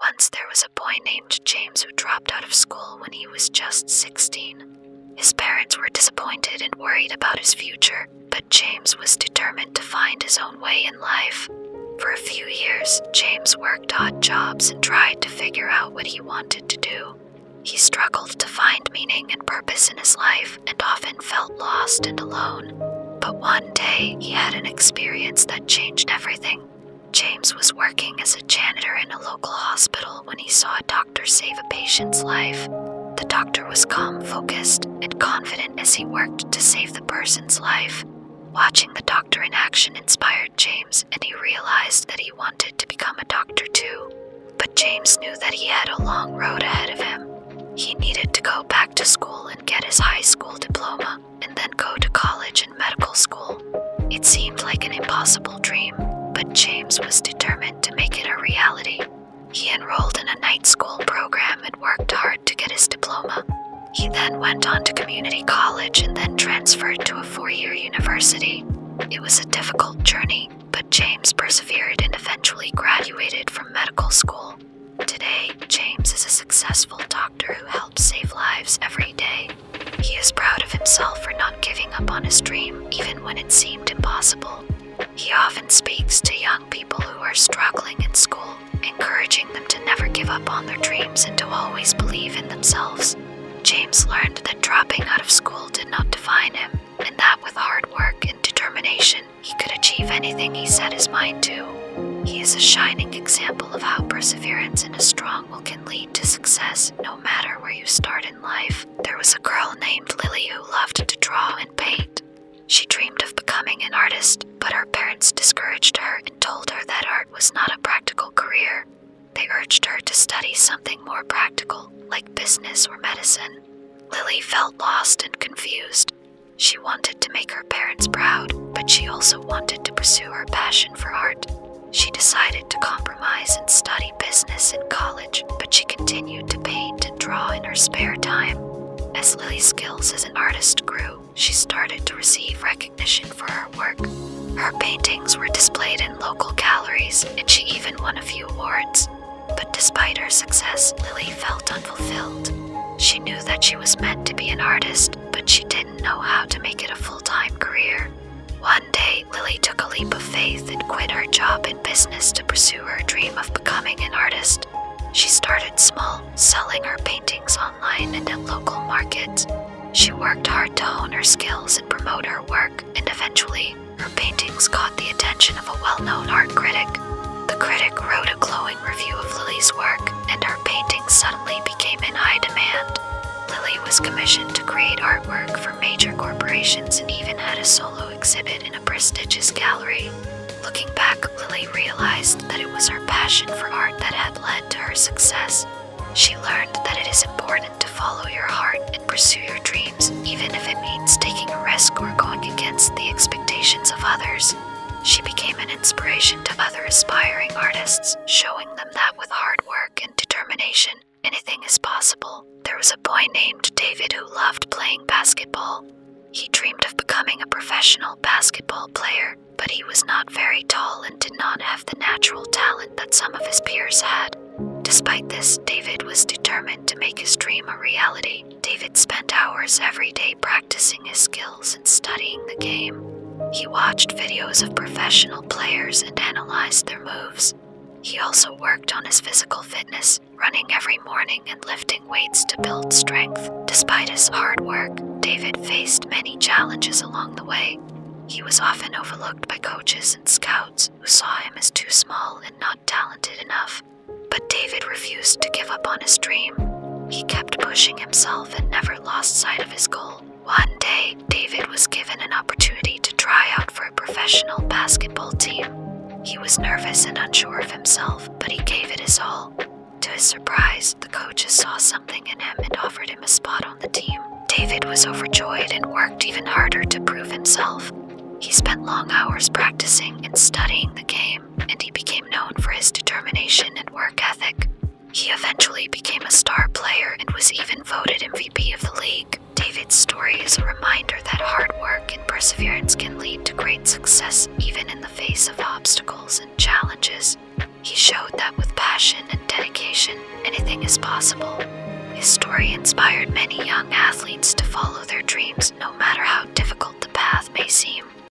Once there was a boy named James who dropped out of school when he was just 16. His parents were disappointed and worried about his future, but James was determined to find his own way in life. For a few years, James worked odd jobs and tried to figure out what he wanted to do. He struggled to find meaning and purpose in his life and often felt lost and alone. But one day, he had an experience that changed everything. James was working as a janitor in a local hospital when he saw a doctor save a patient's life. The doctor was calm, focused, and confident as he worked to save the person's life. Watching the doctor in action inspired James, and he realized that he wanted to become a doctor too. But James knew that he had a long road ahead of him. He needed to go back to school and get his high school diploma and then go to college and medical school. It seemed like an impossible dream, but James was determined to make it a reality. He enrolled in a night school program and worked hard to get his diploma. He then went on to community college and then transferred to a four year university. It was a difficult journey, but James persevered and eventually graduated from medical school. Today, James is a successful doctor doctor who helps save lives every day. He is proud of himself for not giving up on his dream, even when it seemed impossible. He often speaks to young people who are struggling in school, encouraging them to never give up on their dreams and to always believe in themselves. James learned that dropping out of school did not define him, and that with hard work and determination, he could achieve anything he set his mind to. He is a shining example of how perseverance and a strong will can lead to success no matter where you start in life. There was a girl named Lily who loved to draw and paint. She dreamed of becoming an artist, but her parents discouraged her and told her that art was not a practical career. They urged her to study something more practical, like business or medicine. Lily felt lost and confused. She wanted to make her parents proud, but she also wanted to pursue her passion for art. She decided to compromise and study business in college, but she continued to paint and draw in her spare time. As Lily's skills as an artist grew, she started to receive recognition for her work. Her paintings were displayed in local galleries, and she even won a few awards. But despite her success, Lily felt unfulfilled. She knew that she was meant to be an artist, but she didn't know how to make it a full time career. One day, Lily took a leap of faith and quit her job in business to pursue her dream of becoming an artist. She started small, selling her paintings online and at local markets. She worked hard to hone her skills and promote her work, and eventually, her paintings caught the attention of a well known art critic. The critic wrote a glowing review of Lily's work, and her paintings suddenly became in high demand. Lily was commissioned to create artwork for major corporations and even had a solo exhibit in a prestigious gallery. Looking back, Lily realized that it was her passion for art that had led to her success. She learned that it is important to follow your heart and pursue your dreams, even if it means taking a risk or going against the expectations of others. She became an inspiration to other aspiring artists, showing them that with hard work and determination, anything is possible. There was a boy named David who loved playing basketball. He dreamed of becoming a professional basketball player, but he was not very tall and did not have the natural talent that some of his peers had. Despite this, David was determined to make his dream a reality. David spent hours every day practicing practicing his skills and studying the game. He watched videos of professional players and analyzed their moves. He also worked on his physical fitness, running every morning and lifting weights to build strength. Despite his hard work, David faced many challenges along the way. He was often overlooked by coaches and scouts who saw him as too small and not talented enough. But David refused to give up on his dream. He kept pushing himself and never lost sight of his goal. One day, David was given an opportunity to try out for a professional basketball team. He was nervous and unsure of himself, but he gave it his all. To his surprise, the coaches saw something in him and offered him a spot on the team. David was overjoyed and worked even harder to prove himself. He spent long hours practicing and studying the game and he became known for his determination and work ethic. He eventually became a star player and was even voted MVP of the league. David's story is a reminder that hard work and perseverance can lead to great success even in the face of obstacles and challenges. He showed that with passion and dedication, anything is possible. His story inspired many young athletes to follow their dreams no matter how difficult the path may seem.